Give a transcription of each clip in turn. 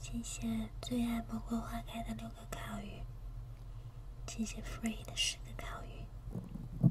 谢谢最爱玫瑰花开的六个烤鱼，谢谢 free 的十个烤鱼。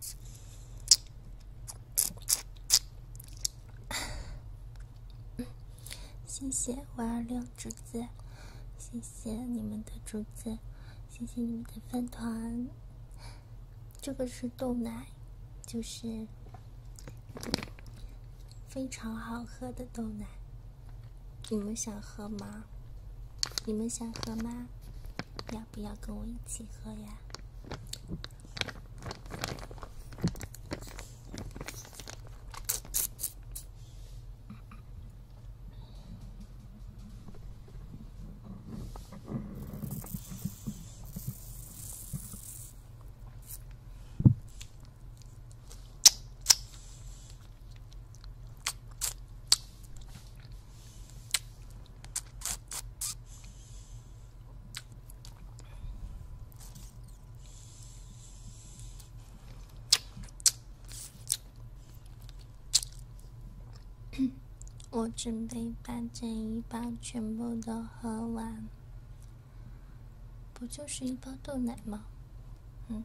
谢谢五二六竹子，谢谢你们的竹子，谢谢你们的饭团。这个是豆奶，就是非常好喝的豆奶，你们想喝吗？你们想喝吗？不要跟我一起喝呀！我准备把这一包全部都喝完。不就是一包豆奶吗？嗯。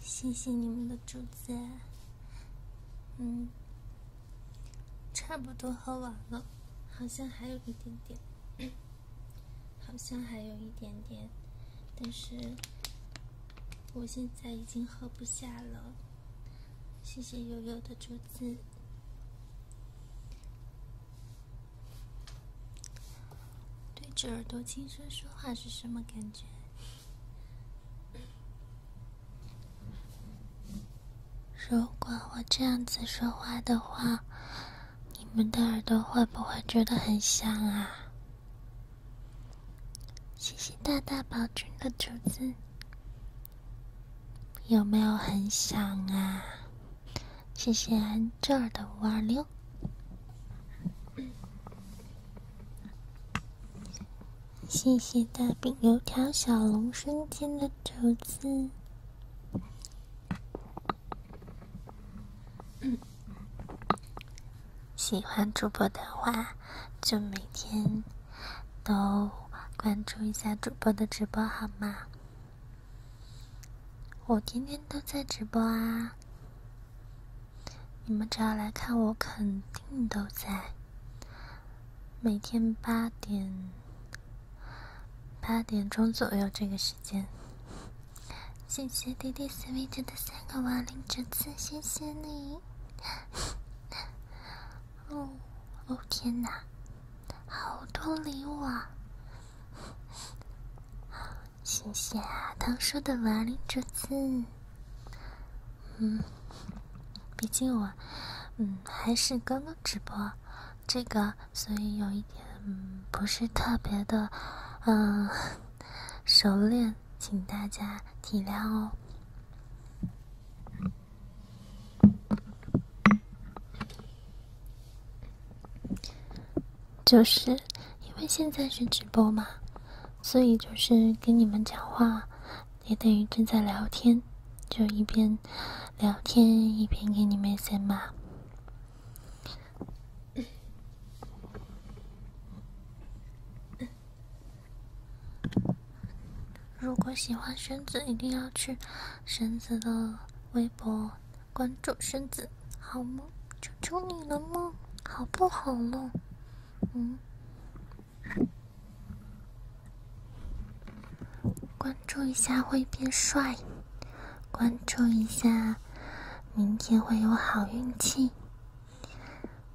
谢谢你们的竹子，嗯，差不多喝完了，好像还有一点点，好像还有一点点，但是我现在已经喝不下了。谢谢悠悠的竹子。对着耳朵轻声说话是什么感觉？如果我这样子说话的话，你们的耳朵会不会觉得很响啊？谢谢大大宝君的竹子，有没有很响啊？谢谢安这儿的五二六。谢谢大饼、油条、小龙、生煎的竹子。喜欢主播的话，就每天都关注一下主播的直播好吗？我天天都在直播啊。你们只要来看我，肯定都在。每天八点，八点钟左右这个时间。谢谢滴滴 s w e 的三个瓦灵折子，谢谢你。哦哦，天哪，好多礼物啊！谢谢啊，唐叔的瓦力之子。嗯，毕竟我，嗯，还是刚刚直播这个，所以有一点不是特别的，嗯，熟练，请大家体谅哦。就是因为现在是直播嘛，所以就是跟你们讲话，也等于正在聊天，就一边聊天一边给你们写嘛。如果喜欢绳子，一定要去绳子的微博。关注身子好吗？求求你了嘛，好不好了？嗯，关注一下会变帅，关注一下明天会有好运气。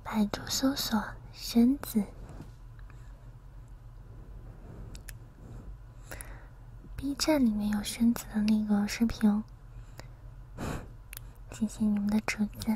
百度搜索身子。B 站里面有宣子的那个视频，谢谢你们的主子。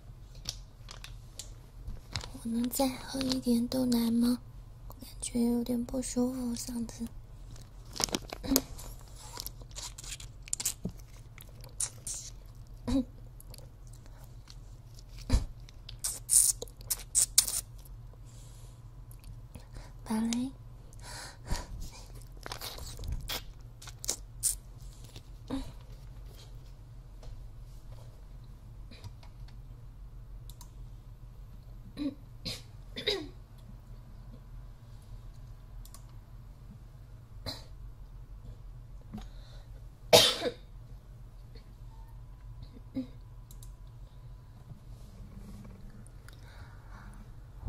我能再喝一点豆奶吗？我感觉有点不舒服，嗓子。芭蕾。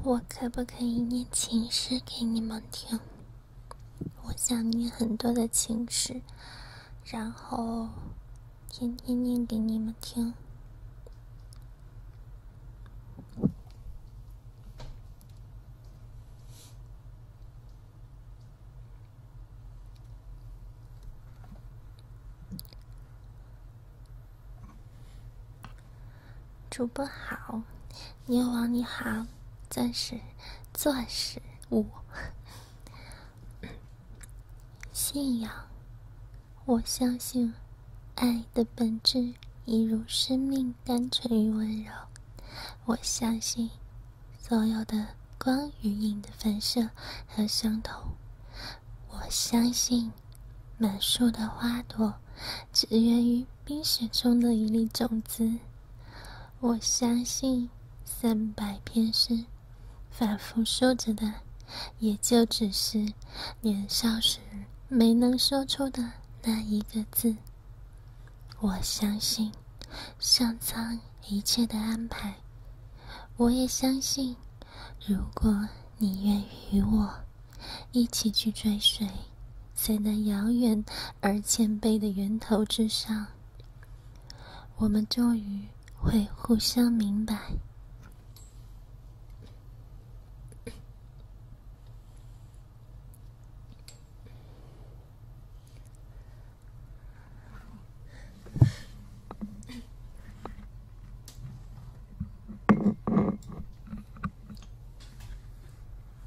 我可不可以念情诗给你们听？我想念很多的情诗，然后天天念给你们听。主播好，牛王你好，钻石，钻石五。信仰，我相信爱的本质一如生命单纯与温柔。我相信所有的光与影的反射和相同。我相信满树的花朵。只源于冰雪中的一粒种子。我相信三百篇诗反复说着的，也就只是年少时没能说出的那一个字。我相信上苍一切的安排。我也相信，如果你愿与我。一起去追随，在那遥远而谦卑的源头之上，我们终于会互相明白。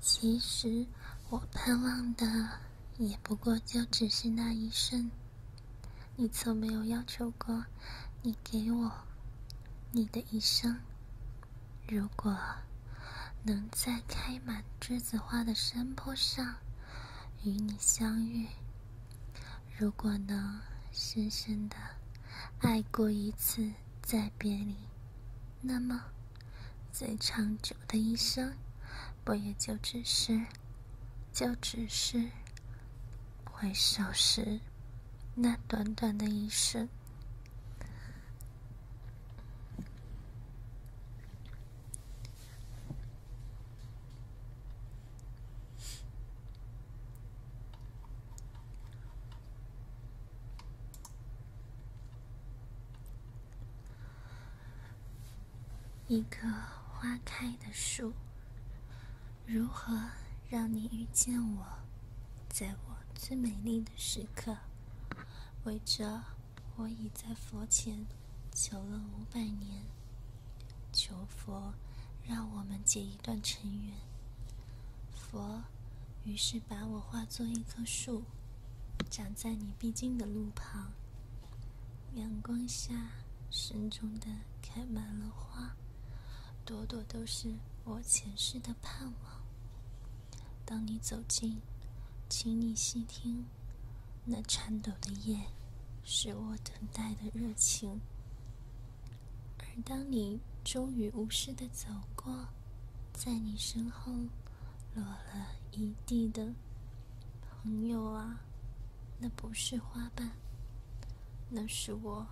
其实，我盼望的也不过就只是那一瞬。你从没有要求过，你给我你的一生。如果能在开满栀子花的山坡上与你相遇，如果能深深的爱过一次再别离。那么，最长久的一生，不也就只是，就只是回首时那短短的一瞬？一棵花开的树，如何让你遇见我，在我最美丽的时刻？为这，我已在佛前求了五百年，求佛让我们结。一段尘缘，佛于是把我化作一棵树，长在你必经的路旁。阳光下，深重的开满了花，朵朵都是我前世的盼望。当你走近，请你细听，那颤抖的叶，是我等待的热情。而当你终于无视的走过，在你身后落了一地的朋友啊，那不是花瓣，那是我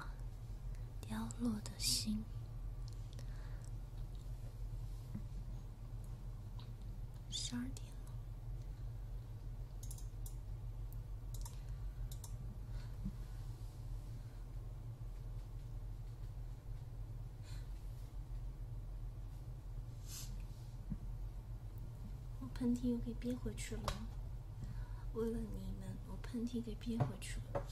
凋落的心。十二点了。我喷嚏又给憋回去了。为了你们，我喷嚏给憋回去了。